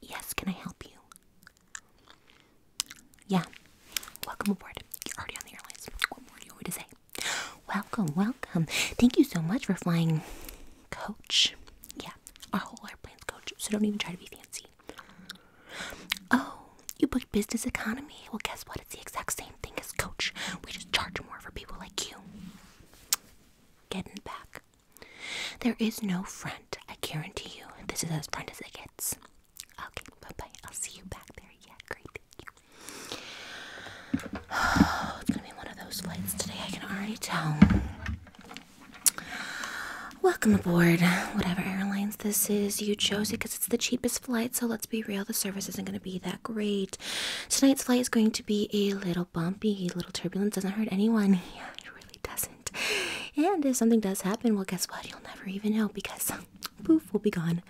Yes, can I help you? Yeah. Welcome aboard. You're already on the airlines. What more do you want to say? Welcome, welcome. Thank you so much for flying coach. Yeah, our whole airplane's coach, so don't even try to be fancy. Oh, you booked business economy. Well, guess what? It's the exact same thing as coach. We just charge more for people like you. Getting back. There is no front, I guarantee you. This is as front as it gets. Okay, bye bye. I'll see you back there. Yeah, great. it's gonna be one of those flights today, I can already tell. Welcome aboard. Whatever airlines this is, you chose it because it's the cheapest flight, so let's be real, the service isn't going to be that great. Tonight's flight is going to be a little bumpy, little turbulence, doesn't hurt anyone. really doesn't. And if something does happen, well, guess what? You'll never even know because poof, we'll be gone.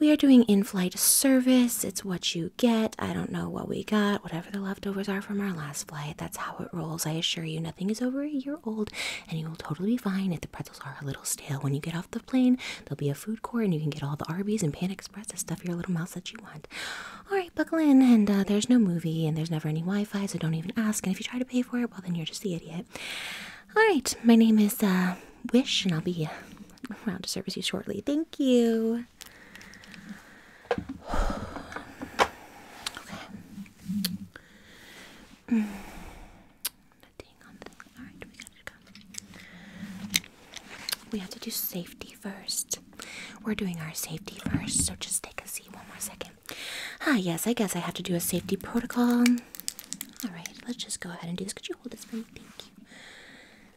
We are doing in flight service. It's what you get. I don't know what we got, whatever the leftovers are from our last flight. That's how it rolls. I assure you, nothing is over a year old, and you will totally be fine if the pretzels are a little stale. When you get off the plane, there'll be a food court, and you can get all the Arby's and Pan Express and stuff your little mouth that you want. All right right, buckle in. And uh, there's no movie, and there's never any Wi Fi, so don't even ask. And if you try to pay for it, well, then you're just the idiot. All right, my name is uh, Wish, and I'll be around to service you shortly. Thank you. Okay. We have to do safety first. We're doing our safety first, so just take a seat one more second. Ah, yes, I guess I have to do a safety protocol. Alright, let's just go ahead and do this. Could you hold this for me? Thank you.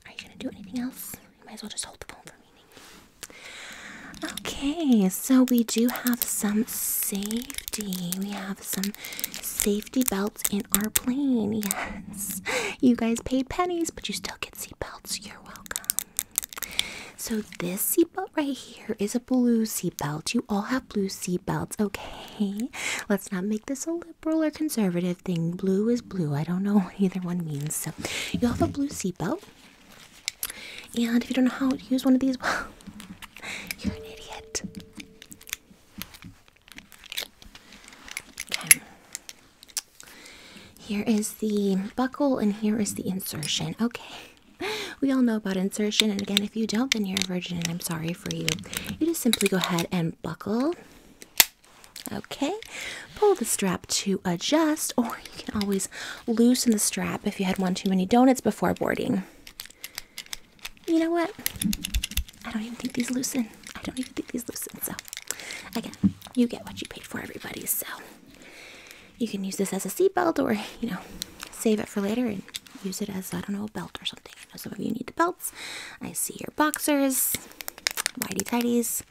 Are you going to do anything else? You might as well just hold the phone for me. Okay, so we do have some safety. We have some safety belts in our plane. Yes. You guys paid pennies, but you still get seatbelts. You're welcome. So this seatbelt right here is a blue seatbelt. You all have blue seatbelts, okay? Let's not make this a liberal or conservative thing. Blue is blue. I don't know what either one means. So you have a blue seatbelt. And if you don't know how to use one of these, you're an idiot. Here is the buckle, and here is the insertion. Okay, we all know about insertion, and again, if you don't, then you're a virgin, and I'm sorry for you. You just simply go ahead and buckle. Okay, pull the strap to adjust, or you can always loosen the strap if you had one too many donuts before boarding. You know what? I don't even think these loosen. I don't even think these loosen. So, again, you get what you paid for, everybody. So, you can use this as a seatbelt or, you know, save it for later and use it as, I don't know, a belt or something. I know some of you need the belts. I see your boxers, whitey tighties.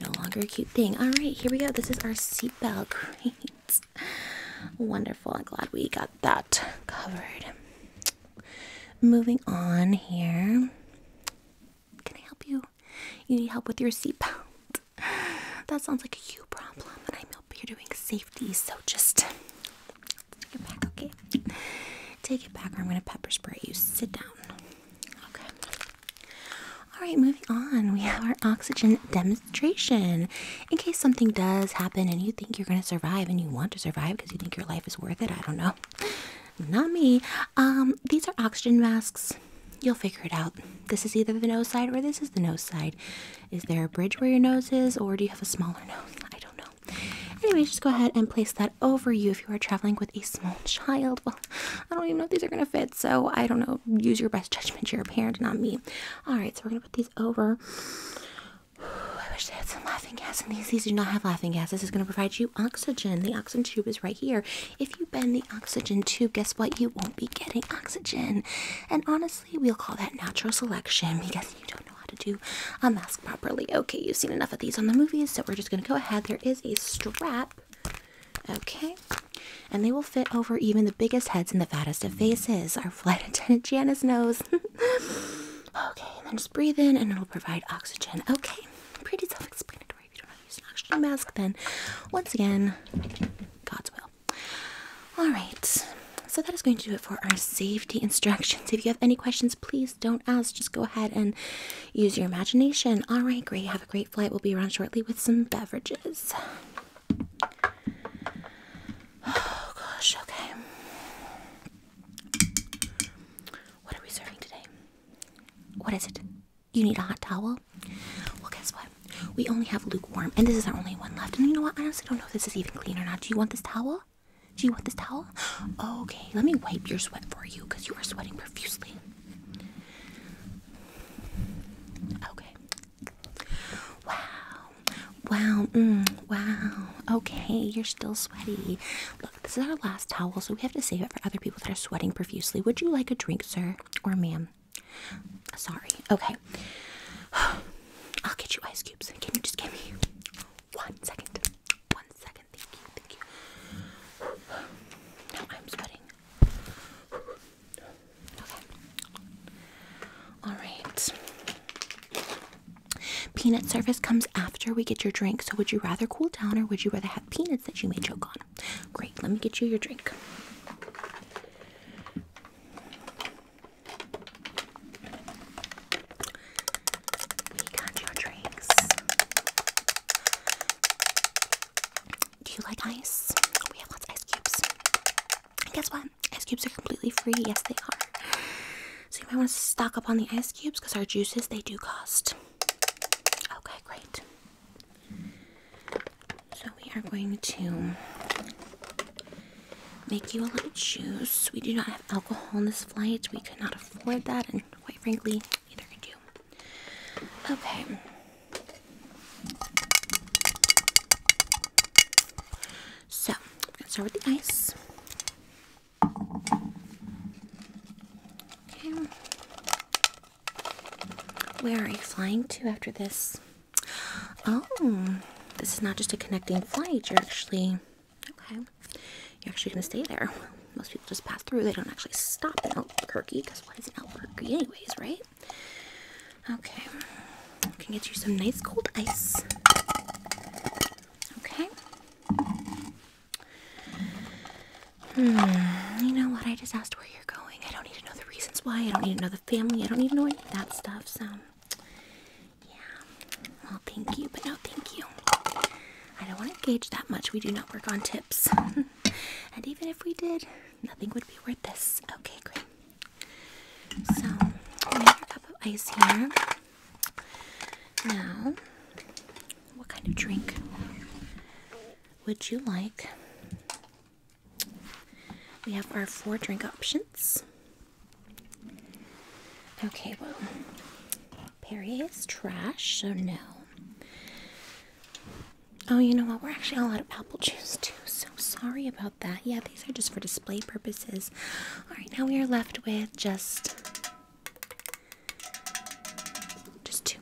No longer a cute thing. All right, here we go. This is our seatbelt. Great. Wonderful. I'm glad we got that covered. Moving on here. Can I help you? You need help with your seatbelt. That sounds like a huge problem, and I'm up here doing safety, so just take it back, okay? Take it back, or I'm gonna pepper spray you. Sit down. Okay. Alright, moving on. We have our oxygen demonstration. In case something does happen and you think you're gonna survive and you want to survive because you think your life is worth it, I don't know. Not me. Um, these are oxygen masks. You'll figure it out. This is either the nose side or this is the nose side. Is there a bridge where your nose is, or do you have a smaller nose? I don't know. Anyway, just go ahead and place that over you if you are traveling with a small child. Well, I don't even know if these are going to fit, so I don't know. Use your best judgment. You're a parent, not me. All right, so we're going to put these over. I wish they had some laughing gas in these. These do not have laughing gas. This is going to provide you oxygen. The oxygen tube is right here. If you bend the oxygen tube, guess what? You won't be getting oxygen. And honestly, we'll call that natural selection because you don't know how to do a mask properly. Okay, you've seen enough of these on the movies, so we're just going to go ahead. There is a strap. Okay, and they will fit over even the biggest heads and the fattest of faces. Our flight attendant Janice knows. okay, and then just breathe in and it'll provide oxygen. Okay, pretty self explanatory you don't have to use an oxygen mask, then once again, God's will. Alright, so that is going to do it for our safety instructions. If you have any questions, please don't ask. Just go ahead and use your imagination. Alright, great. Have a great flight. We'll be around shortly with some beverages. Oh gosh, okay. What are we serving today? What is it? You need a hot towel? Well, guess what? We only have lukewarm, and this is our only one left. And you know what? I honestly don't know if this is even clean or not. Do you want this towel? Do you want this towel? Okay, let me wipe your sweat for you because you are sweating profusely. Okay. Wow. Wow. Mm, wow. Okay, you're still sweaty. Look, this is our last towel, so we have to save it for other people that are sweating profusely. Would you like a drink, sir or ma'am? Sorry. Okay. I'll get you ice cubes. Can you just give me one second? One second. Thank you. Thank you. Now I'm sweating. Okay. Alright. Peanut service comes after we get your drink. So would you rather cool down or would you rather have peanuts that you may choke on? Great, let me get you your drink. We got your drinks. Do you like ice? We have lots of ice cubes. And guess what? Ice cubes are completely free. Yes, they are. So you might want to stock up on the ice cubes because our juices they do cost. Okay, great. So we are going to make you a little juice. We do not have alcohol on this flight. We could not afford that, and quite frankly, neither could you. Okay. So we're gonna start with the ice. Okay. Where are you flying to after this? Oh, this is not just a connecting flight. You're actually okay. You're actually gonna stay there. most people just pass through. They don't actually stop in Albuquerque because why is it Albuquerque anyways, right? Okay, I can get you some nice cold ice. Okay. Hmm, you know what? I just asked where you're going. I don't need to know the reasons why. I don't need to know the family. I don't need to know any of that stuff. So, yeah. Well, thank you, but no, thank you. I don't want to engage that much. We do not work on tips. and even if we did, nothing would be worth this. Okay, great. So, another cup of ice here. Now, what kind of drink would you like? We have our four drink options. Okay, well, Perrier is trash, so no. Oh, you know what? We're actually all out of apple juice, too, so sorry about that. Yeah, these are just for display purposes. Alright, now we are left with just. Just two.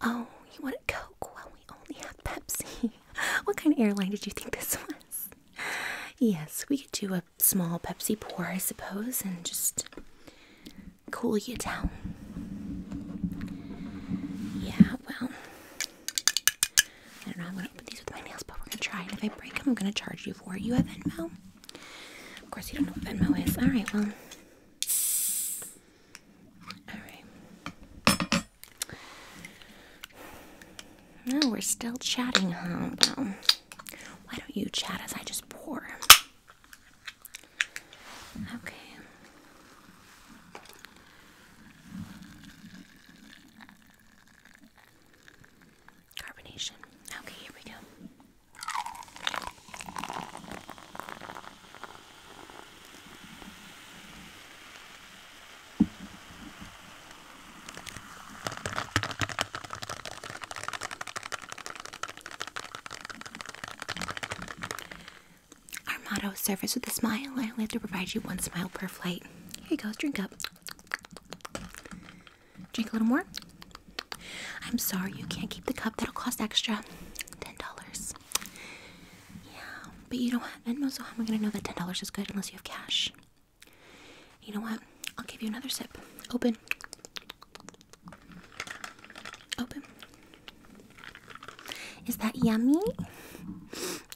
Oh, you want a Coke? Well, we only have Pepsi. what kind of airline did you think this was? Yes, we could do a small Pepsi pour, I suppose, and just cool you down. Yeah, well, I don't know. I'm going to open these with my nails, but we're going to try. And if I break them, I'm going to charge you for it. You have Venmo? Of course, you don't know what Venmo is. All right, well. Alright. No, we're still chatting, huh? why don't you chat as I just pour? Okay. Carbonation. Okay, here we go. Our motto service with a smile. I only have to provide you one smile per flight. Here you goes. drink up. Drink a little more. I'm sorry you can't keep the cup, that'll cost extra. $10. Yeah, but you know what? And also, how am I gonna know that ten dollars is good unless you have cash? You know what? I'll give you another sip. Open. Open. Is that yummy?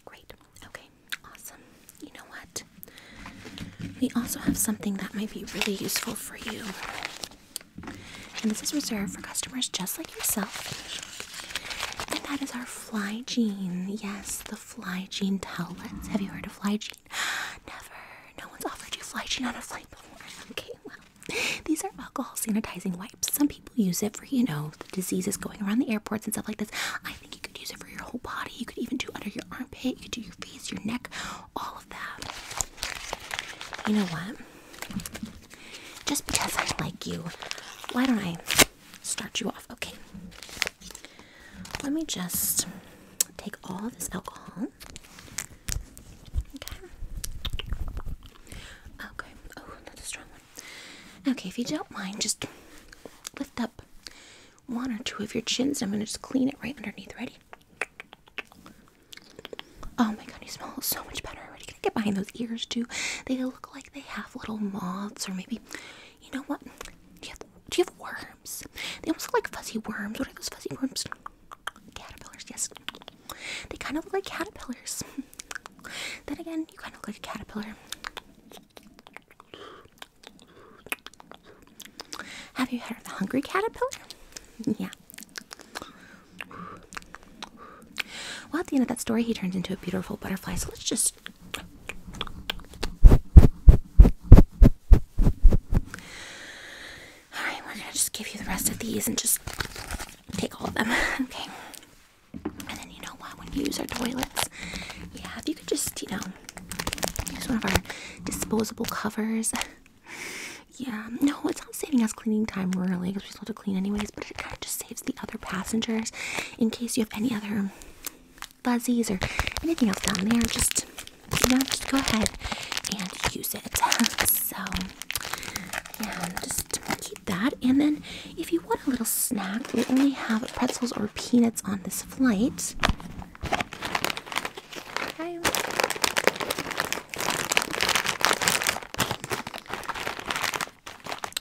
Great. Okay. Awesome. You know what? We also have something that might be really useful for you. And this is reserved for customers just like yourself. And that is our fly gene. Yes, the fly gene towelettes. Have you heard of fly gene? Never. No one's offered you fly gene on a flight before. Okay, well, these are alcohol sanitizing wipes. Some people use it for, you know, the diseases going around the airports and stuff like this. I think you could use it for your whole body. You could even do under your armpit. You could do your face, your neck, all of that. You know what? Just because I like you, why don't I start you off? Okay. Let me just take all this alcohol. Okay. Okay. Oh, that's a strong one. Okay, if you don't mind, just lift up one or two of your chins. I'm going to just clean it right underneath. Ready? Oh my god, you smell so much better already. Can I get behind those ears too? They look like they have little moths, or maybe, you know what? Do you have, do you have worms? They almost look like fuzzy worms. What are those fuzzy worms? Caterpillars, yes. They kind of look like caterpillars. then again, you kind of look like a caterpillar. Have you heard of the hungry caterpillar? Yeah. Well, at the end of that story, he turns into a beautiful butterfly. So let's just. Alright, we're gonna just give you the rest of these and just take all of them. Okay. And then you know what? When you use our toilets, yeah, if you could just, you know, use one of our disposable covers yeah, no, it's not saving us cleaning time really because we still have to clean anyways, but it kind of just saves the other passengers in case you have any other fuzzies or anything else down there. Just you know, just go ahead and use it. so yeah, just keep that. And then if you want a little snack, we only have pretzels or peanuts on this flight. Okay.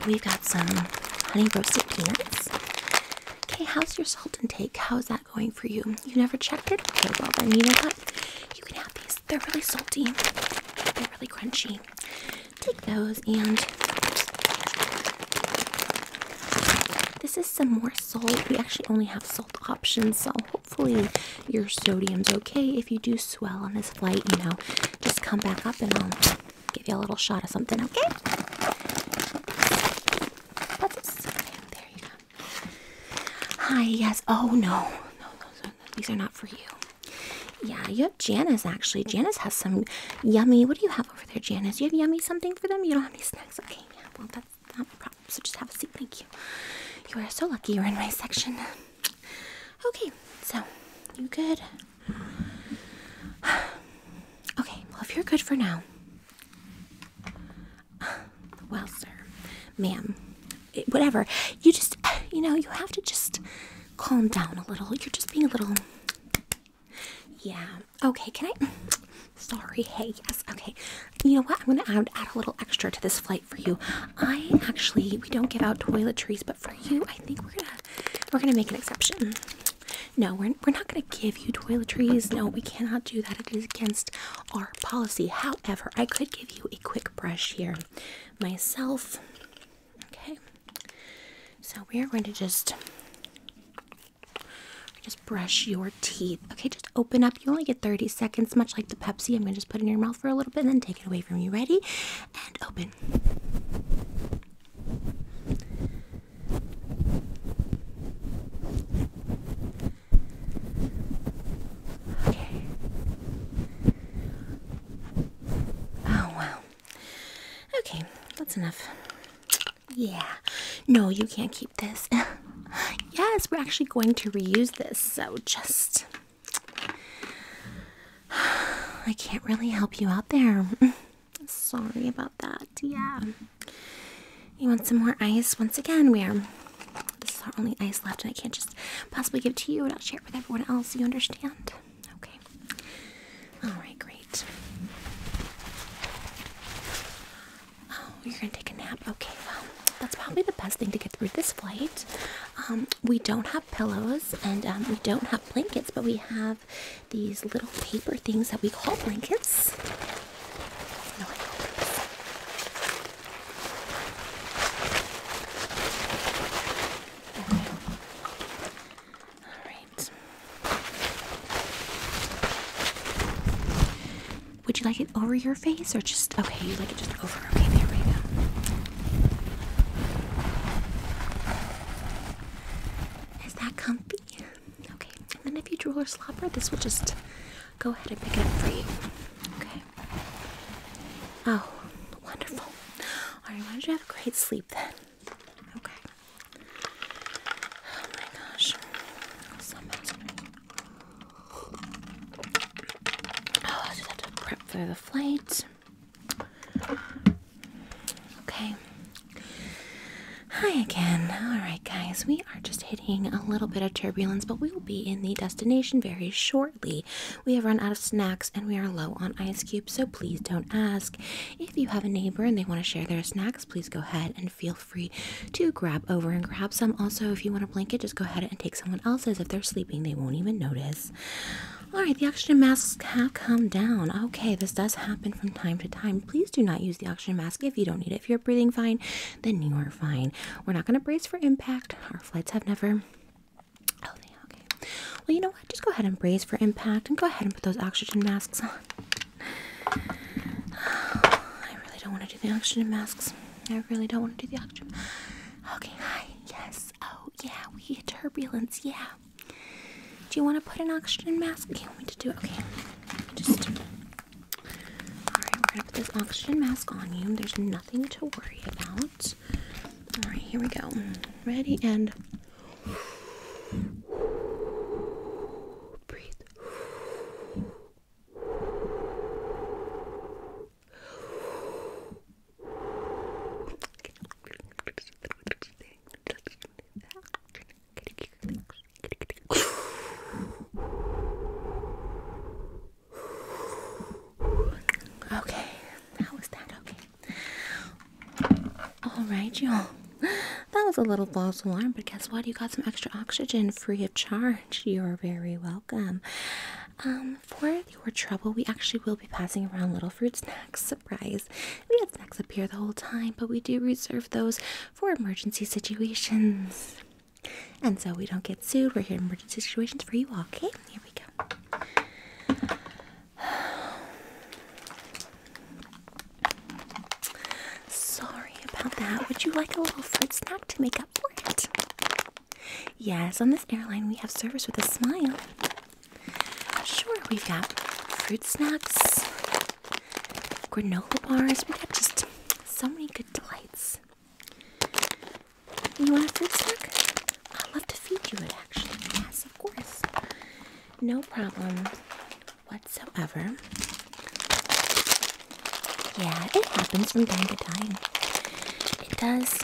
We've got some honey roasted peanuts. Okay, how's your salt intake? How's that going for you? You never checked it? Okay, well then you know what? You can have these. They're really salty. They're really crunchy. Take those and this is some more salt. We actually only have salt options, so hopefully your sodium's okay. If you do swell on this flight, you know, just come back up and I'll give you a little shot of something, okay? Hi, yes. Oh, no. No, those are, these are not for you. Yeah, you have Janice actually. Janice has some yummy. What do you have over there, Janice? You have yummy something for them? You don't have any snacks? Okay, yeah, well, that's not a problem. So just have a seat. Thank you. You are so lucky you're in my section. Okay, so you good? Okay, well, if you're good for now. Well, sir, ma'am, eh, whatever. You just, you know, you have to just calm down a little. You're just being a little. Yeah. Okay, can I? Sorry. Hey, yes. Okay. You know what? I'm going to add, add a little extra to this flight for you. I actually we don't give out toiletries, but for you, I think we're gonna we're gonna make an exception. No, we're we're not gonna give you toiletries. No, we cannot do that. It is against our policy. However, I could give you a quick brush here myself. Okay. So we are going to just just brush your teeth. Okay, just open up. You only get 30 seconds, much like the Pepsi. I'm gonna just put in your mouth for a little bit and then take it away from you. Ready? And open. Okay. Oh, wow. Okay, that's enough. Yeah. No, you can't keep this. yes, we're actually going to reuse this, so just I can't really help you out there. Sorry about that. Yeah. You want some more ice? Once again, we are. This is our only ice left, and I can't just possibly give it to you and I'll share it with everyone else. You understand? Okay. Alright, great. Oh, you're gonna take a nap? Okay, well, that's probably the best thing to get through this flight. Um, we don't have pillows and um, we don't have blankets, but we have these little paper things that we call blankets. okay. All right. Would you like it over your face or just okay? You like it just over. Okay, there we go. Is that comfy? Okay, and then if you drool or slobber, this will just go ahead and pick it up for you. Okay. Oh, wonderful. Alright, why don't you have a great sleep then? Okay. Oh my gosh. Oh, just have to prep for the flight. Okay. Hi again. Alright, guys, we are just hitting a little bit of turbulence, but we will be in the destination very shortly. We have run out of snacks and we are low on ice cubes, so please don't ask. If you have a neighbor and they want to share their snacks, please go ahead and feel free to grab over and grab some. Also, if you want a blanket, just go ahead and take someone else's. If they're sleeping, they won't even notice. Alright, the oxygen masks have come down. Okay, this does happen from time to time. Please do not use the oxygen mask if you don't need it. If you're breathing fine, then you are fine. We're not going to brace for impact. Our flights have never. Oh, okay. Well, you know what? Just go ahead and brace for impact and go ahead and put those oxygen masks on. I really don't want to do the oxygen masks. I really don't want to do the oxygen. Okay, hi. Yes. Oh, yeah, we get turbulence. Yeah. Do you want to put an oxygen mask? Do you want me to do it? Okay. Just. Alright, we're going to put this oxygen mask on you. There's nothing to worry about. Alright, here we go. Ready and. Breathe. Okay, how was that? Okay. All right, y'all. That was a little false alarm, but guess what? You got some extra oxygen free of charge. You're very welcome. Um, for your trouble, we actually will be passing around little fruit snacks. Surprise! We have snacks up here the whole time, but we do reserve those for emergency situations. And so we don't get sued. We're here in emergency situations for you all. Okay, here we go. Sorry about that. Would you like a little fruit snack to make up? Yes, on this airline we have service with a smile. Sure, we've got fruit snacks, granola bars, we got just so many good delights. You want a fruit snack? I'd love to feed you it actually. Yes, of course. No problem whatsoever. Yeah, it happens from time to time. It does.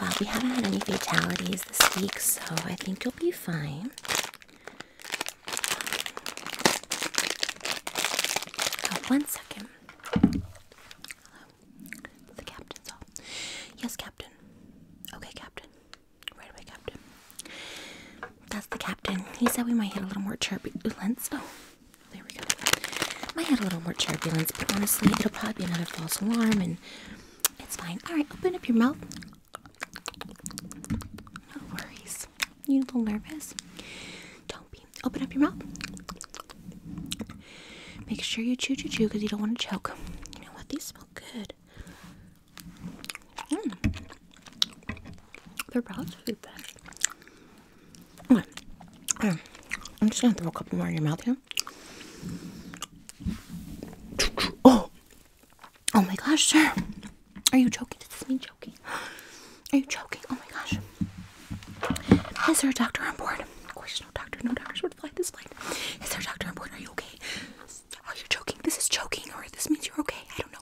Wow, we haven't had any fatalities this week, so I think you'll be fine. Oh, one second. Hello. The captain's off. Yes, Captain. Okay, Captain. Right Captain. That's the captain. He said we might hit a little more turbulence. Oh, there we go. Might hit a little more turbulence, but honestly, it'll probably be another false alarm, and it's fine. All right, open up your mouth. No worries. You a little nervous? Don't be. Open up your mouth. Make sure you chew, chew, chew, because you don't want to choke. You know what? These smell good. Mm. They're proud to eat that. Okay. Right. Um, I'm just gonna throw a couple more in your mouth here. Oh, oh my gosh, sir! Are you choking? Does this mean choking? Are you choking? Oh my gosh! Is there a doctor on board? Of course, no doctor. No doctors would fly this flight. Is there a doctor on board? Are you okay? Are you choking? This is choking, or this means you're okay. I don't know.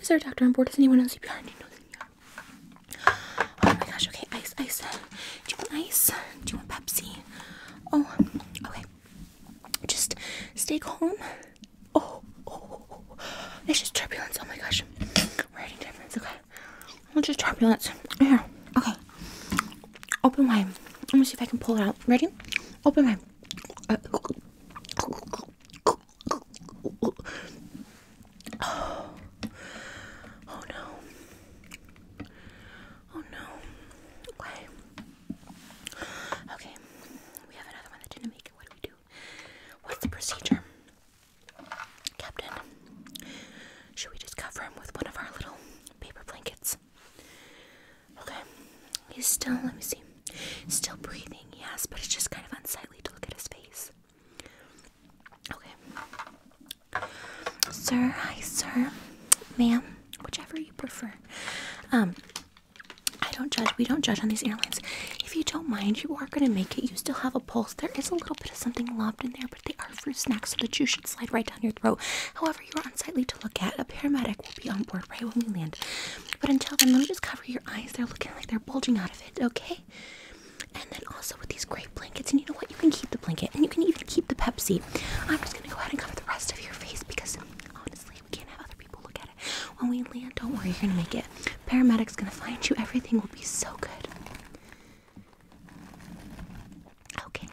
Is there a doctor on board? Is anyone on CPR? Do you know CPR? Oh my gosh, okay, ice, ice. Do you want ice? Do you want Pepsi? Oh, okay. Just stay calm. Oh, oh, oh, oh. It's just turbulence. Oh my gosh. We're having turbulence, okay. It's just turbulence. Here, okay. Open wide. Let me see if I can pull it out. Ready? Open wide. Uh, Oh. oh no. Oh no. Okay. Okay. We have another one that didn't make it. What do we do? What's the procedure? Captain, should we just cover him with one of our little paper blankets? Okay, he's still, let me see, still breathing, yes, but it's just kind of unsightly to look at his face. Okay. Sir, hi, sir, ma'am, whichever you prefer. Um, I don't judge, we don't judge on these airlines. If you don't mind, you are going to make it. You still have a pulse. There is a little bit of something lobbed in there, but they are for snacks so the juice should slide right down your throat. However, you are unsightly to look at. A paramedic will be on board right when we land. But until then, let me just cover your eyes. They're looking like they're bulging out of it, okay? And then also with these great blankets, and you know what? You can keep the blanket, and you can even keep the Pepsi. I'm just gonna go ahead and cover the rest of your face because honestly, we can't have other people look at it. When we land, don't worry, you're gonna make it. Paramedic's gonna find you. Everything will be so good. Okay.